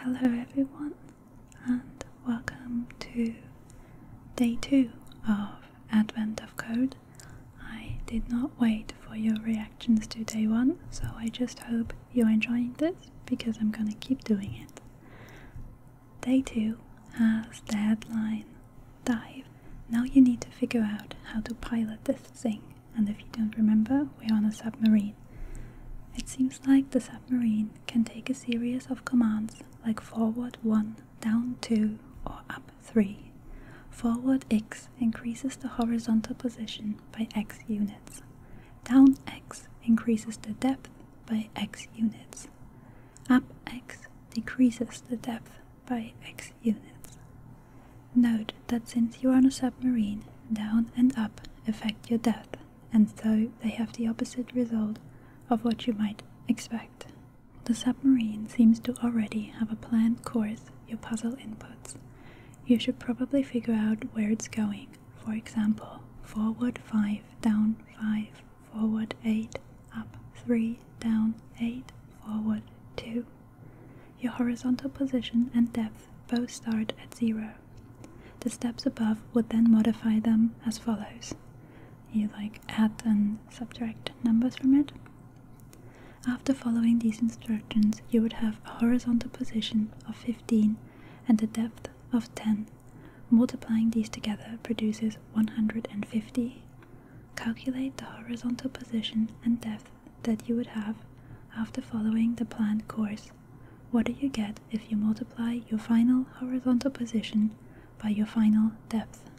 Hello, everyone, and welcome to day two of Advent of Code. I did not wait for your reactions to day one, so I just hope you're enjoying this because I'm gonna keep doing it. Day two has the headline Dive. Now you need to figure out how to pilot this thing, and if you don't remember, we're on a submarine. It seems like the submarine can take a series of commands like forward 1, down 2, or up 3. Forward X increases the horizontal position by X units. Down X increases the depth by X units. Up X decreases the depth by X units. Note that since you are on a submarine, down and up affect your depth, and so they have the opposite result of what you might expect. The submarine seems to already have a planned course, your puzzle inputs. You should probably figure out where it's going. For example, forward 5, down 5, forward 8, up 3, down 8, forward 2. Your horizontal position and depth both start at zero. The steps above would then modify them as follows. You like add and subtract numbers from it. After following these instructions, you would have a horizontal position of 15 and a depth of 10. Multiplying these together produces 150. Calculate the horizontal position and depth that you would have after following the planned course what do you get if you multiply your final horizontal position by your final depth?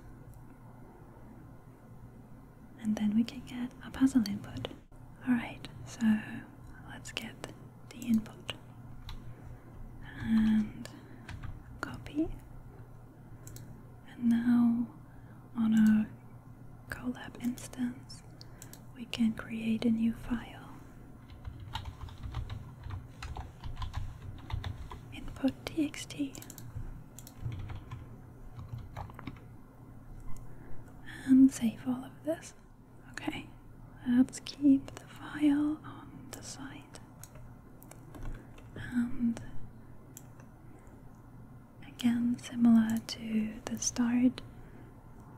And then we can get a puzzle input. Alright, so let's get the input and copy. And now on a Colab instance, we can create a new file. Input txt. And save all of this. Okay, let's keep the file on the side. Again, similar to the start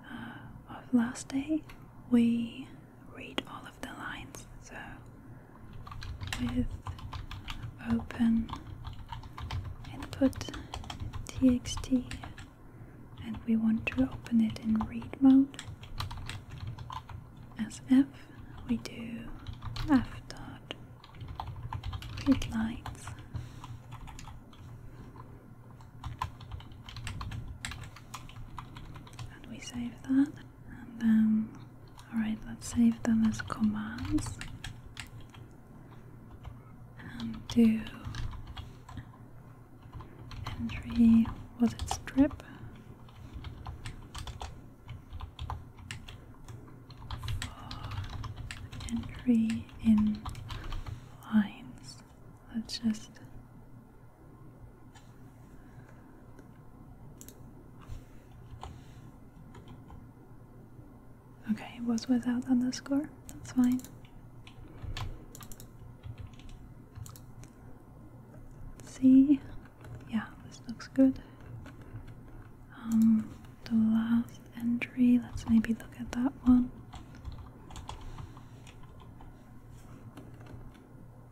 uh, of last day, we read all of the lines. So, with open input txt, and we want to open it in read mode. As f, we do f dot read lines and we save that. And then, alright, let's save them as commands. And do entry, was it strip? for entry in lines. Let's just Okay, it was without underscore. That's fine. let see, yeah, this looks good. Um, the last entry, let's maybe look at that one.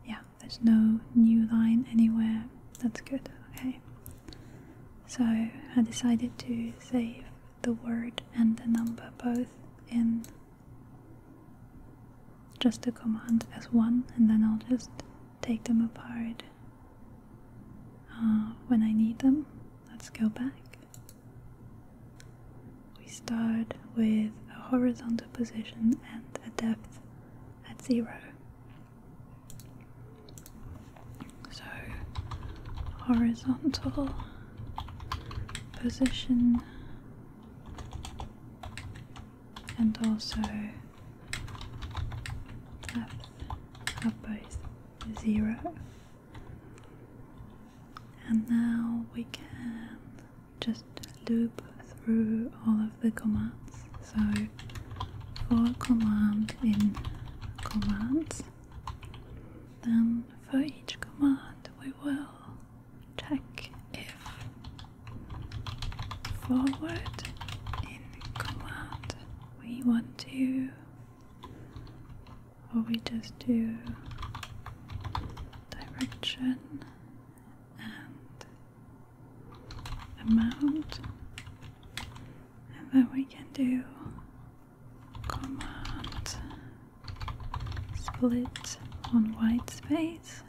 Yeah, there's no new line anywhere. That's good, okay. So I decided to save the word and the number both in just a command as one, and then I'll just take them apart uh, when I need them. Let's go back. We start with a horizontal position and a depth at zero. So, horizontal position and also depth are both zero. And now we can just loop through all of the commands. So for command in commands, then for each command we will check if forward in command we want to well, we just do direction and amount, and then we can do command split on white space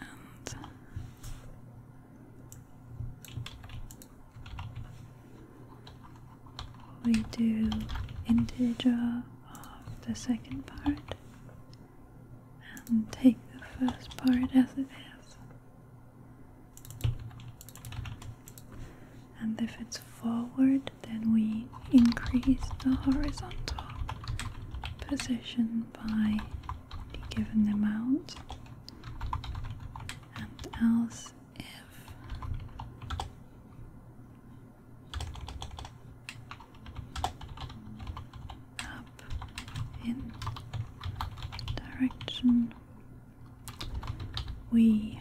and we do integer of the second part and take the first part as it is. And if it's forward, then we increase the horizontal position by the given amount and else if up in direction we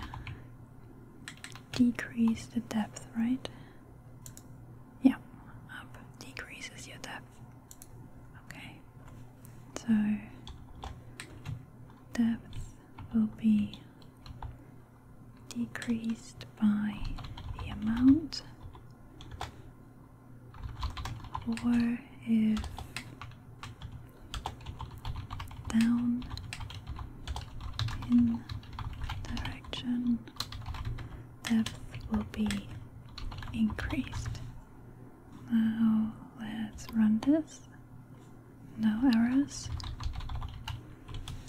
decrease the depth, right? Yeah, up decreases your depth. Okay, so depth will be decreased by the amount, or if down in direction depth will be increased now let's run this. No errors.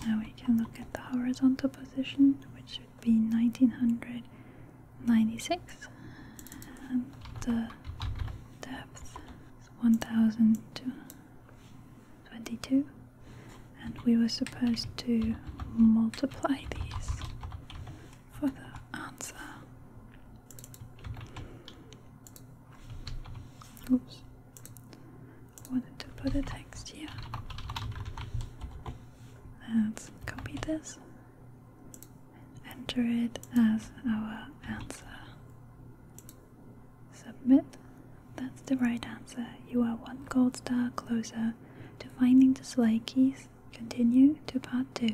Now we can look at the horizontal position, which should be 1996, and the depth is 1022. And we were supposed to multiply these for the answer. Oops. I wanted to put a text here. Let's copy this and enter it as our answer. Submit. That's the right answer. You are one gold star closer to finding the Slay keys. Continue to part 2.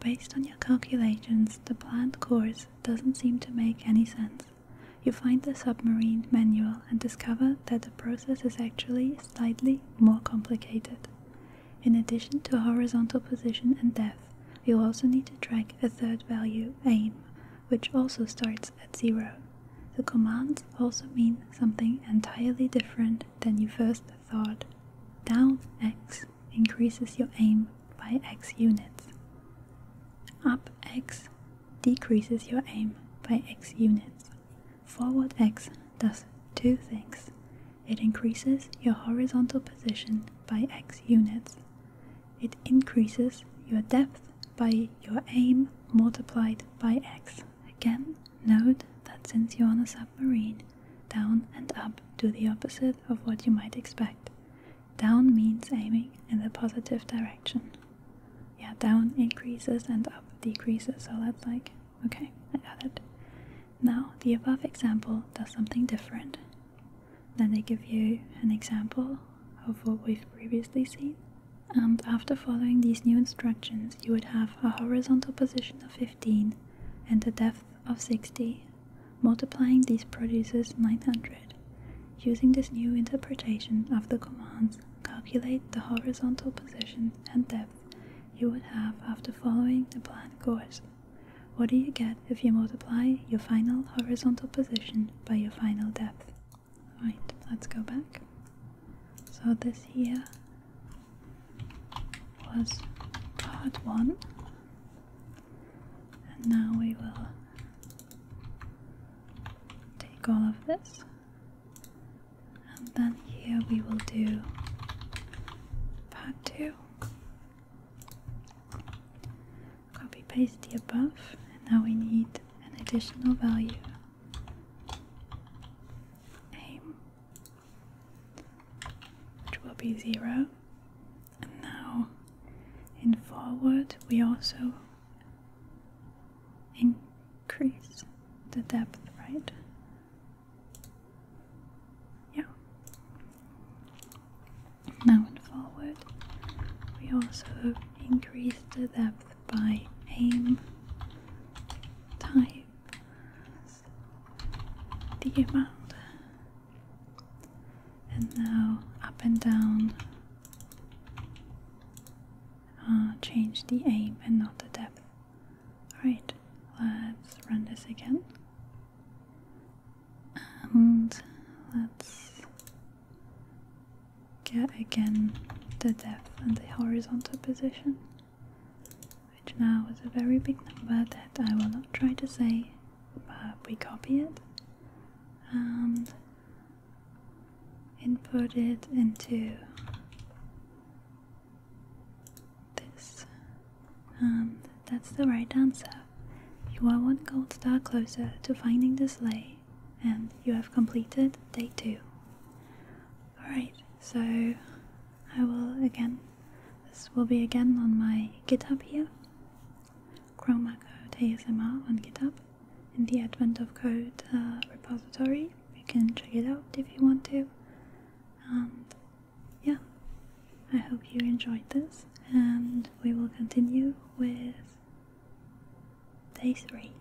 Based on your calculations, the planned course doesn't seem to make any sense. You find the submarine manual and discover that the process is actually slightly more complicated. In addition to horizontal position and depth, you also need to track a third value, aim, which also starts at zero. The commands also mean something entirely different than you first thought. Down x increases your aim by x units. Up x decreases your aim by x units. Forward x does two things. It increases your horizontal position by x units. It increases your depth by your aim multiplied by x. Again, note that since you're on a submarine, down and up do the opposite of what you might expect. Down means aiming in the positive direction. Yeah, down increases and up decreases, so that's like, okay, I got it. Now, the above example does something different. Then they give you an example of what we've previously seen. And after following these new instructions, you would have a horizontal position of 50 and the depth of 60, multiplying these produces 900. Using this new interpretation of the commands, calculate the horizontal position and depth you would have after following the planned course. What do you get if you multiply your final horizontal position by your final depth? Alright, let's go back. So this here was part one, and now we will take all of this, and then here we will do part two. Copy paste the above, and now we need an additional value aim, which will be zero. And now in forward, we also increase the depth, right? Yeah. Now in forward, we also increase the depth by aim time the amount and now up and down uh, change the aim and not the depth alright let's run this again and let's get again the depth and the horizontal position which now is a very big number that I will not try to say but we copy it and input it into this and um, that's the right answer. You are one gold star closer to finding the sleigh and you have completed day 2. Alright, so I will again, this will be again on my GitHub here. Chroma code ASMR on GitHub in the Advent of Code uh, repository. You can check it out if you want to. And yeah, I hope you enjoyed this, and we will continue with day three.